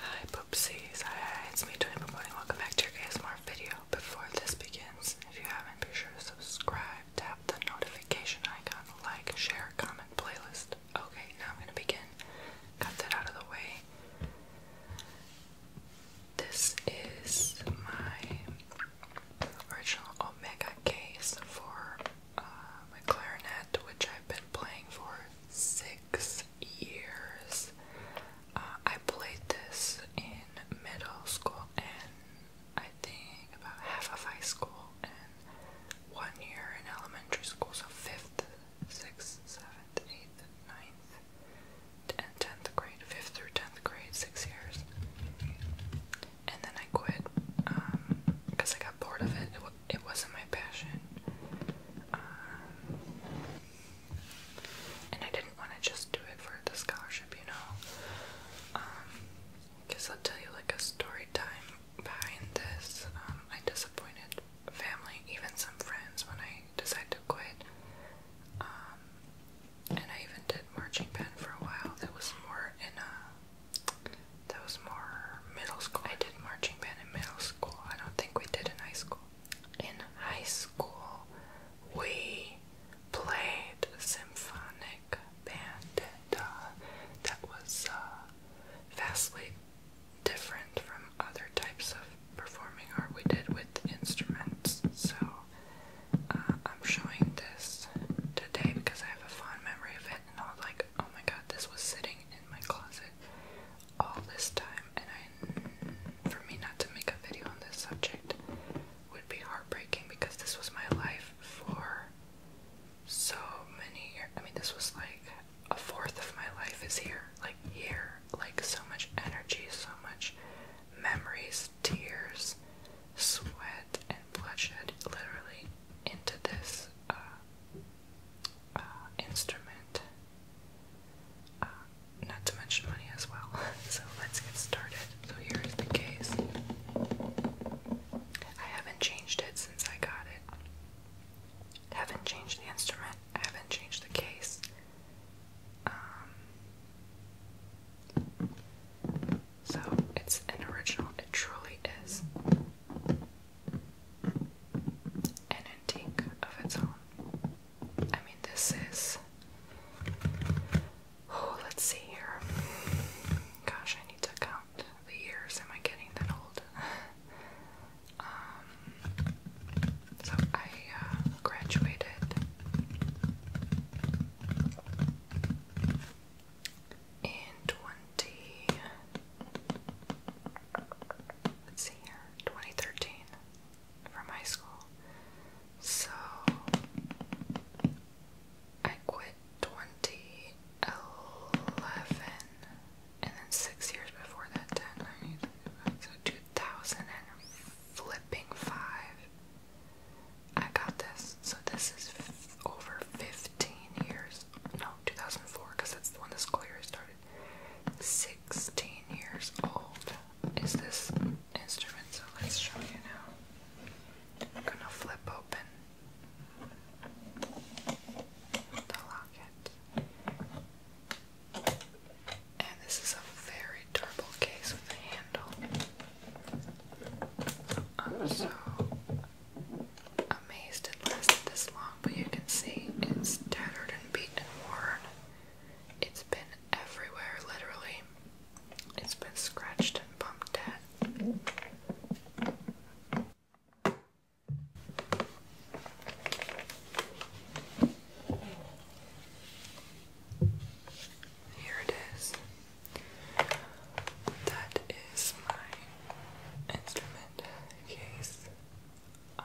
Hi poopsies, hi, it's me Tony Promoting, welcome back to your ASMR video. Before this begins, if you haven't, be sure to subscribe, tap the notification icon, like, share, comment, playlist. Okay, now I'm gonna begin. Got that out of the way. This is my original Omega case for uh, my clarinet, which I've been playing for six years. Uh, I played this in middle school and I think about half of high school and one year in elementary school, so fifth, sixth, seventh, eighth, ninth, and tenth grade, fifth through tenth grade, six years. And then I quit because um, I got bored of it it wasn't my passion. Um, and I didn't want to just do it for the scholarship, you know. Because um, I'll tell you like a story time behind this. Um, I disappointed family, even some friends, when I decided to quit. and I even did marching band for a while. That was more in a that was more middle school. I did marching band in middle school. I don't think we did in high school. In high school, we played symphonic band, uh, that was uh, vastly different from other types of performing art we did with instruments. So uh, I'm showing this today because I have a fond memory of it, and I was like, oh my god, this was sitting in my closet all this time, and I, for me not to make a video on this subject would be heartbreaking because this was my life for so many years. I mean, this was like a fourth of my life is here, like here, like so much energy, so much memories, tears, sweat, and bloodshed literally into this uh, uh, instrument, uh, not to mention money as well. so let's get started. So here is the case. I haven't changed it since I got it. I haven't changed the instrument. I haven't changed the case. Um, so it's an original. It truly is an antique of its own. I mean, this is. Oh, let's see here. Gosh, I need to count the years. Am I getting that old? Um, so I uh, graduated in 20 let let's see here, twenty thirteen from high school. So I quit twenty eleven and then six years before that ten I so two thousand I got this. So this is over 15 years. No, 2004, because that's when the school year started. 16 years old is this instrument, so let's show you now. I'm gonna flip open the locket. And this is a very durable case with a handle. Uh, so amazed it lasted this long, but you can see it's tattered and beaten, and worn. It's been everywhere, literally. It's been scratched and bumped at. Here it is. That is my instrument case. Um,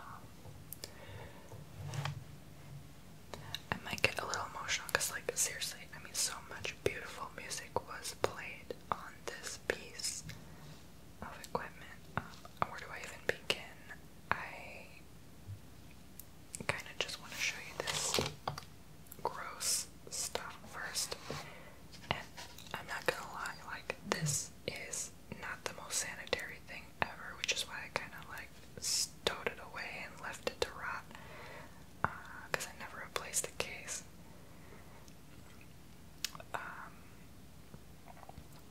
I might get a little emotional because, like, seriously, I mean, so much beautiful music was played on this piece of equipment. Um, where do I even begin? I kind of just want to show you this gross stuff first. And I'm not gonna lie, like, this is not the most sanitary thing ever, which is why I kind of like stowed it away and left it to rot because uh, I never replaced the case. Um,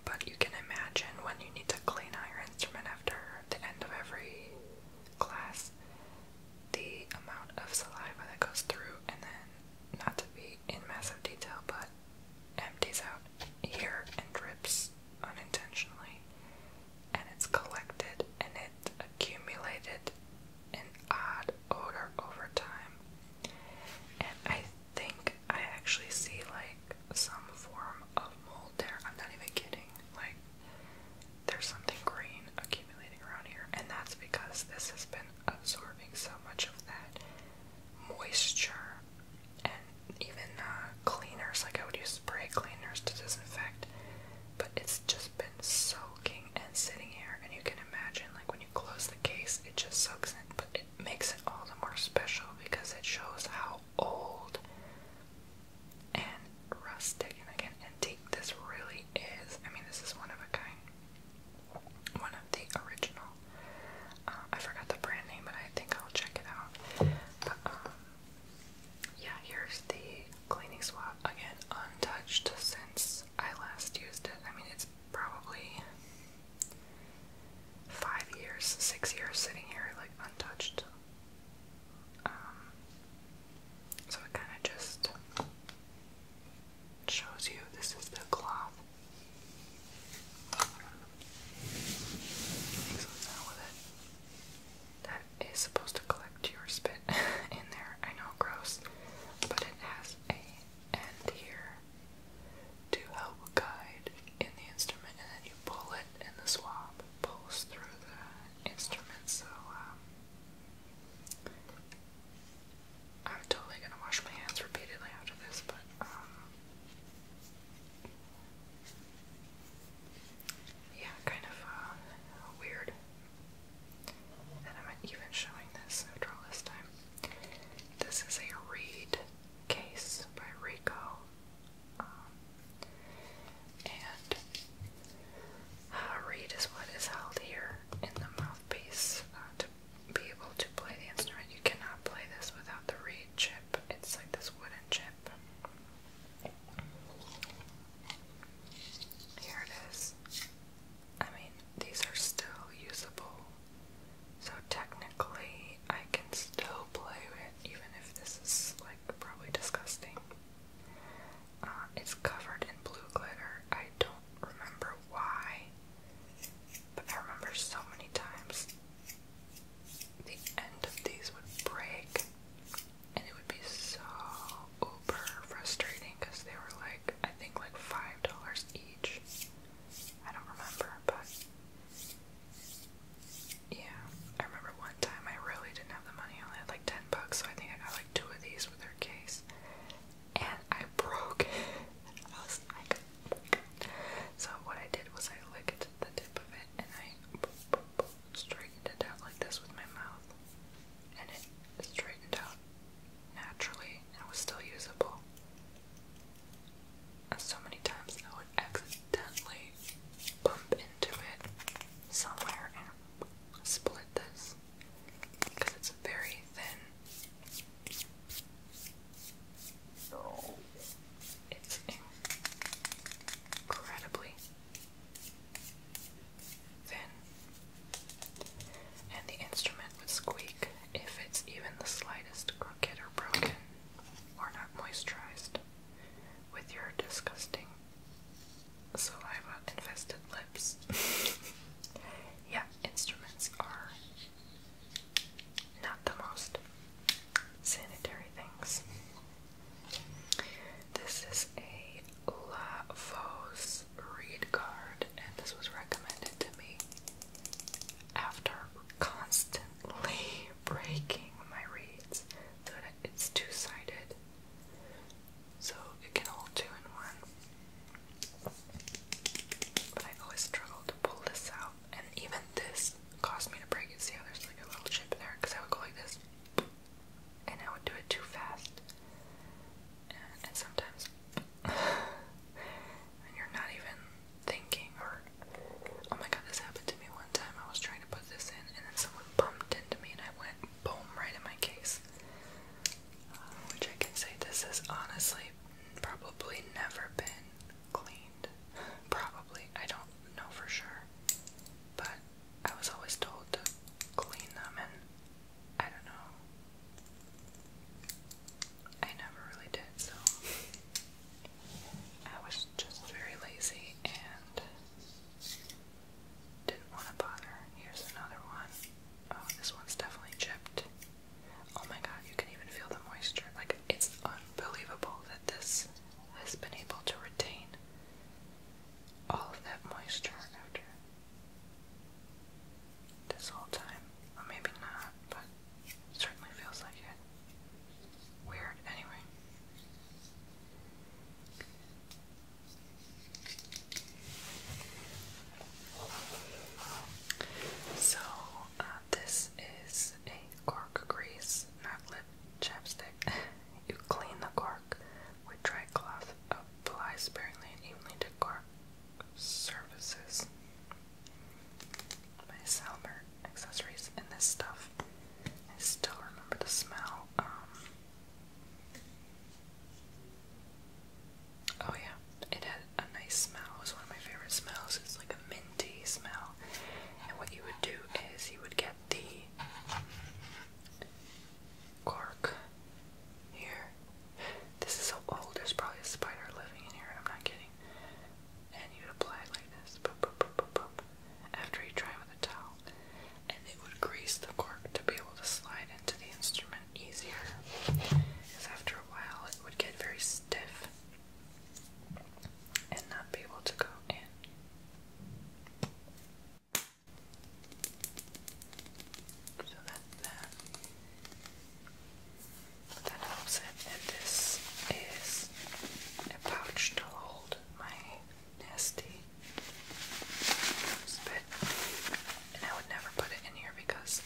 but you can imagine when you need to clean out your instrument after the end of every class, the amount of saliva that goes through, and then not to be in massive detail, but empties out here and drips unintentionally, and it's collected and it accumulated an odd odor over time. And I think I actually see like some form of mold there. I'm not even kidding. Like there's something green accumulating around here, and that's because this has been absorbing so much of that moisture and even uh, cleaners. Like I would use spray cleaners to disinfect, but it's just been soaking and sitting here. And you can imagine, like when you close the case, it just soaks in, but it makes it all the more special because it shows how old and rustic and again antique this really is. I mean, this is one of a kind one of the original. Uh, I forgot the brand name, but I think I'll check it out. But, um, yeah, here's the cleaning swab again, untouched since I last used it. I mean, it's probably five years, six years sitting here like untouched. Um, so it kind of just shows you this is the cloth that is supposed to collect your spit in there. I know, gross, but it has a end here to help guide in the instrument, and then you pull it, and the swab pulls through the instrument. So, um, I'm totally gonna wash my hands repeatedly after this, but um, yeah, kind of uh, weird that I'm even showing this after this time. This is a Reed case by Rico. Um, and Reed is what is held here in the mouthpiece uh, be able to play the instrument. You cannot play this without the reed chip. It's like this wooden chip. Here it is. I mean, these are still usable. So technically, I can still play it, even if this is like probably disgusting. Uh, it's covered in blue glitter. I don't remember why, but I remember so many times the end of these would break and it would be so uber frustrating because they were like, I think like $5 each. I don't remember, but yeah, I remember one time I really didn't have the money. I only had like 10 bucks, so I think I got like two of these with her case. And I broke I was like, so what I did was I licked the tip of it and I straightened it out like this with my mouth. And it straightened out naturally and it was still usable. And so many times I would accidentally bump into it somewhere and split this because it's very thin Oh, it's incredibly thin, and the instrument would squeak if it's even the slightest crooked or broken or not moisturized with your disgusting saliva infested lips. yeah, instruments are not the most sanitary things. This is a La Fosse read card, and this was recommended to me after constantly breaking my reads so it's two sided, so it can hold two in one. But I always struggle to pull this out and even this caused me to break it. See how there's like a little chip in there? Because I would go like this, and I would do it too fast. And, sometimes, and you're not even thinking, or oh my god, this happened to me one time. I was trying to put this in, and then someone bumped into me, and I went boom right in my case. Uh, which I can say this has honestly probably never been cleaned. Probably. I don't know for sure. But I was always told to clean them, and I don't know. I never really did, so. I was just very lazy and didn't want to bother. Here's another one. Oh, this one's definitely chipped. Oh my god, you can even feel the moisture. Like, it's unbelievable that this has been able to retain all of that moisture after this whole time. Well, maybe not, but certainly feels like it. Weird, anyway. So, uh, this is a cork grease, not lip chapstick. you clean the cork with dry cloth, apply sparingly and evenly to cork surfaces. My Salmer accessories and this stuff. I still remember the smell. Um, oh yeah, it had a nice smell. It was one of my favorite smells. It's like a minty smell. And what you would do is you would get the cork here. This is so old, there's probably a spider living in here, I'm not kidding. And you'd apply like this. Boop, boop, boop, boop, boop. After you dry with a towel. And it would grease the cork to be able to slide into the instrument easier. Because after a while it would get very stiff and not be able to go in. So that's that. That helps And this is a pouch to hold my nasty spit. And I would never put it in here because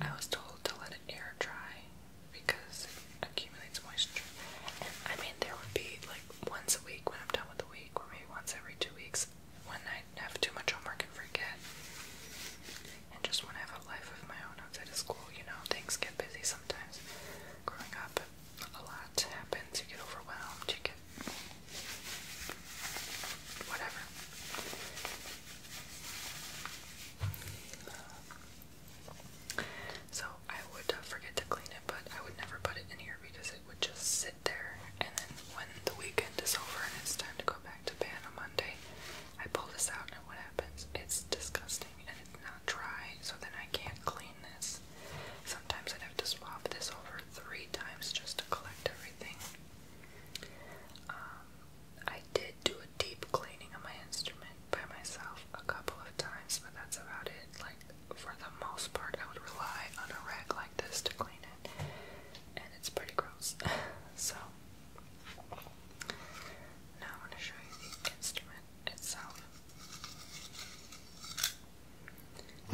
I was told to let it air dry because it accumulates moisture. I mean, there would be like once a week when I'm done with the week, or maybe once every two weeks when I have too much homework and forget. And just when I have a life of my own outside of school, you know, things get busy sometimes. Growing up, a lot happens. You get overwhelmed, you get whatever so I would uh, forget to clean it, but I would never put it in here because it would just sit there. And then when the weekend is over and it's time to go back to bed on Monday, I pull this out, and what happens? It's disgusting and it's not dry, so then I can't clean this. Sometimes i have to swap this over three times just to collect everything. Um, I did did do a deep cleaning of my instrument by myself a couple of times, but that's about it. Like, for the most part, I would rely on a rag like this to clean it, and it's pretty gross. so, now i want to show you the instrument itself.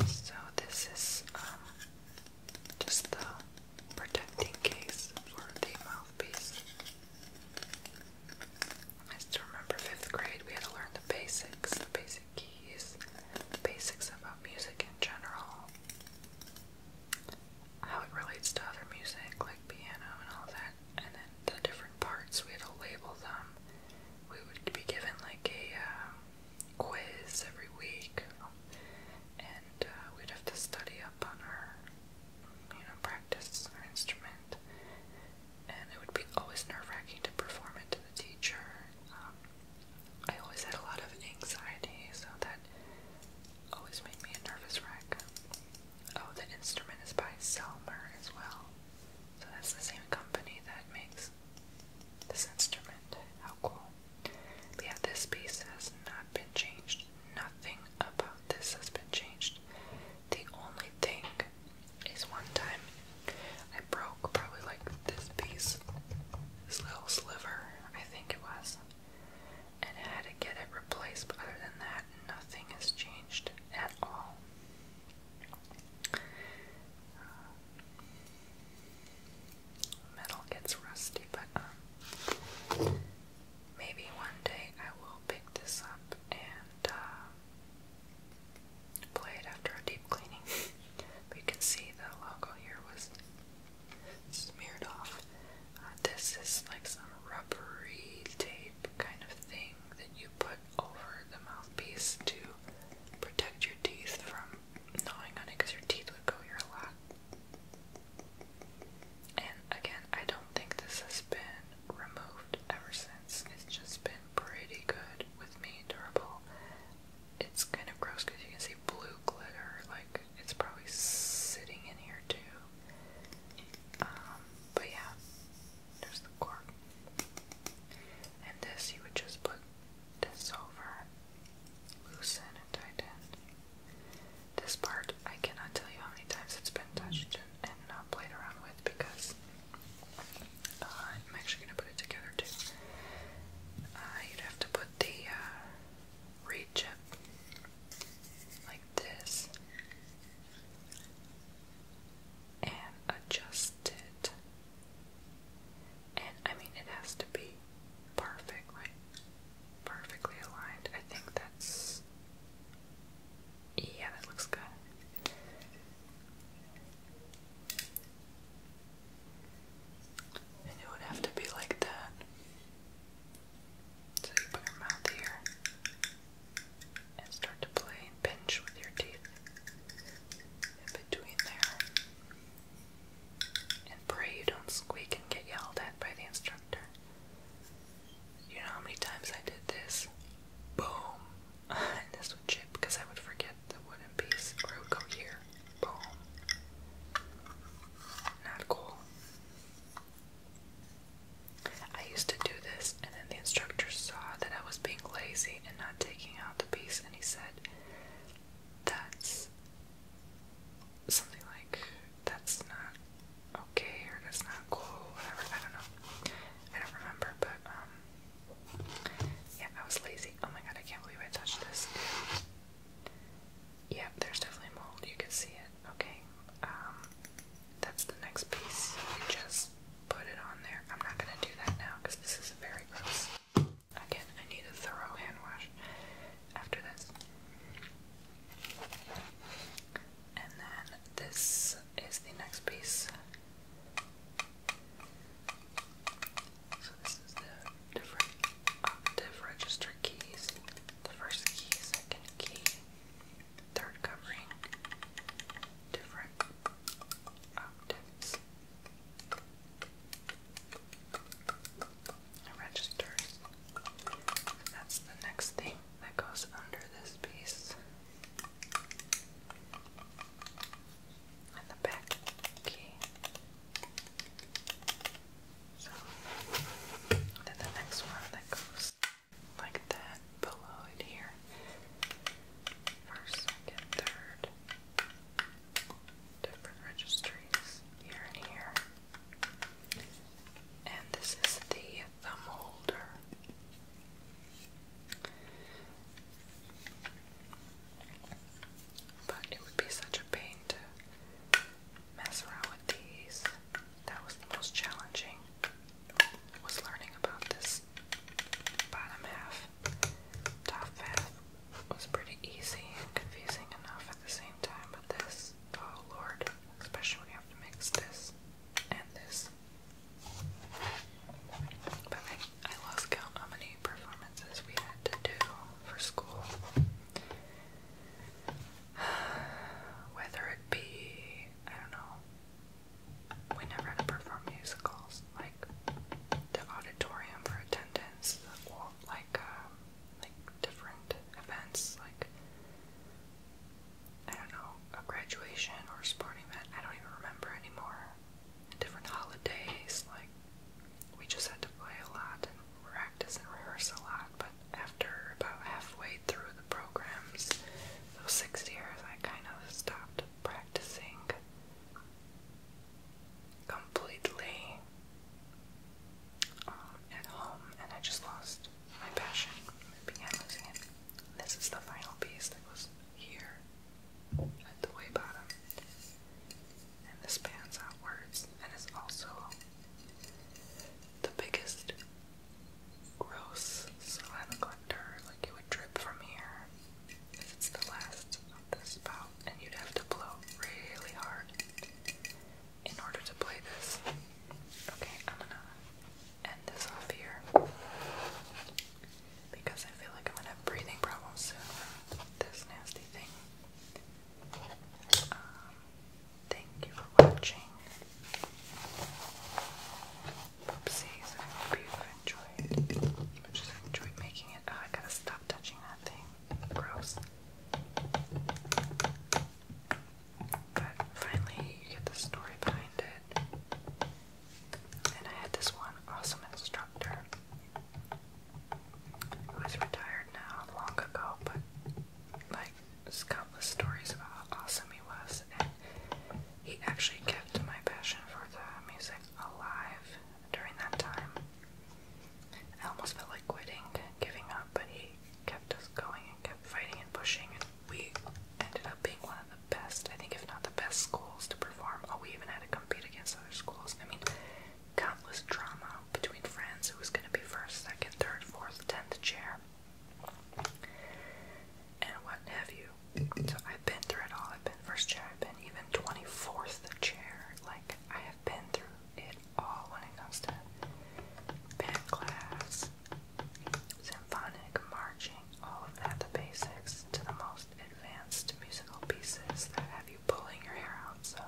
So, this is um, just the protecting case for the mouthpiece. I still remember fifth grade we had to learn the basics, the basic keys, the basics about music in general, how it relates to other music like piano and all that, and then the different parts we had to label them. We would be given like a um, quiz every week, and uh, we'd have to study up on our you know, practice an instrument, and it would be always nerve-wracking to perform it to the teacher. Um, I always had a lot of anxiety, so that always made me a nervous wreck. Oh, the instrument is by Selmer as well. So that's the same company that makes this instrument. How cool. But yeah, this piece has not been changed Nothing about this has been changed. The only thing is one time I broke probably like this piece, this little sliver, I think it was, and had to get it replaced. But other than that, nothing has changed at all. metal gets rusty, but um, maybe one day I will pick this up and uh, play it after a deep cleaning. but can see the logo here was smeared off. Uh, this is like some rubbery tape kind of thing that you put over the mouthpiece to protect your teeth from gnawing on it your teeth would go here a and again, I don't think this has been removed ever since. It's just been pretty good with me, durable. It's kind of gross because you can see blue glitter, like it's probably sitting in here too. Um, but yeah, there's the cork. And this, you would just put this over, loosen and tighten. This part, I cannot tell you how many times it's been touched and, not played around with because uh, I'm actually going to put it together too. Uh, you'd have to put the uh, reed like this and adjust it. And I mean, it has to be perfect, right? perfectly aligned. I think that's. Yeah, that looks good. And it would have to be like that. So you put your mouth here and start to play and pinch with your teeth in between there. And pray you don't squeak and get yelled at by the instructor. You know how many times I did this? Boom. and this would chip because I would forget the wooden piece or it would go here. Boom. Not cool. I used to do this and then the instructor saw that I was being lazy and not taking out the piece and he said, that's something like that's not okay or that's not cool, whatever, I don't know. I don't remember, but um yeah, I was lazy. Oh my god, I can't believe I touched this. Yep, there's definitely mold, you can see it. Okay. Um that's the next piece. You just put it on there. I'm not gonna do that now because this is very gross. Again, I need a thorough hand wash after this. And then this is the next piece. So this is the different octave register keys. The first key, second key, third covering, different octaves registers. That's the next thing that goes under this piece. And the back key. So, then the next one that goes like that below it here. First, second, third. Different registries here and here. And this is the thumb holder. But it would be such a pain to mess around with these. That was the most challenging. Was learning about this bottom half. Top half was pretty easy confusing enough at the same time, but this, oh lord especially when you have to mix this and this. But I, I lost count how many performances we had to do for school. Whether it be, I don't know, we never had to perform musicals, like the auditorium for attendance, or like um, like different events, like I don't know, a graduation or sporting event. I don't even remember anymore. different holidays, like we just had to play a lot and practice and rehearse a lot. But after about halfway through the programs, those six years, I kind of stopped practicing completely um, at home, and I just lost my passion. I began losing it. This is the final piece that was here at the way bottom. And this pans outwards and is also the biggest gross saliva Like it would drip from here. If it's the last of the spout, and you'd have to blow really hard in order to play this. Okay, I'm gonna end this off here because I feel like I'm gonna have breathing problems soon this nasty thing. Um, thank you for watching. Oopsies, I hope you enjoyed. I just enjoyed making it. Oh, I gotta stop touching that thing. Gross. But finally, you get the story behind it. And I had this one awesome instructor who is retired now, long ago, but like there's countless stories about how awesome he was, and he actually kept my passion for the music alive during that time. I almost felt like quitting, giving up, but he kept us going and kept fighting and pushing, and we ended up being one of the best, I think, if not the best schools to perform. Oh, we even had to compete against other schools. I mean, countless drama between friends who was going to be first, second, third, fourth, tenth chair, and what have you. So I've been through it all. I've been first chair, I've been even 24th chair. Like, I have been through it all when it comes to band class, symphonic, marching, all of that, the basics, to the most advanced musical pieces that have you pulling your hair out. So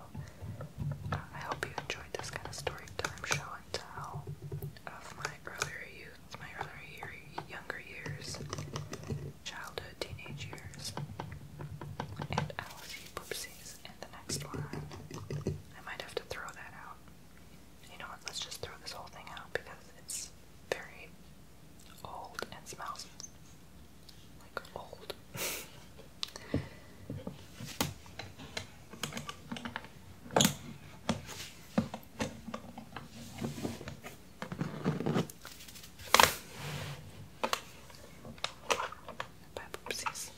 uh, I hope you enjoyed this kind of story time show and of my earlier youth, my earlier year, younger years, childhood, teenage years, and I'll see poopsies in the next one. I might have to throw that out you know what, let's just throw this whole thing out because it's very old and smells like old. Bye, poopsies.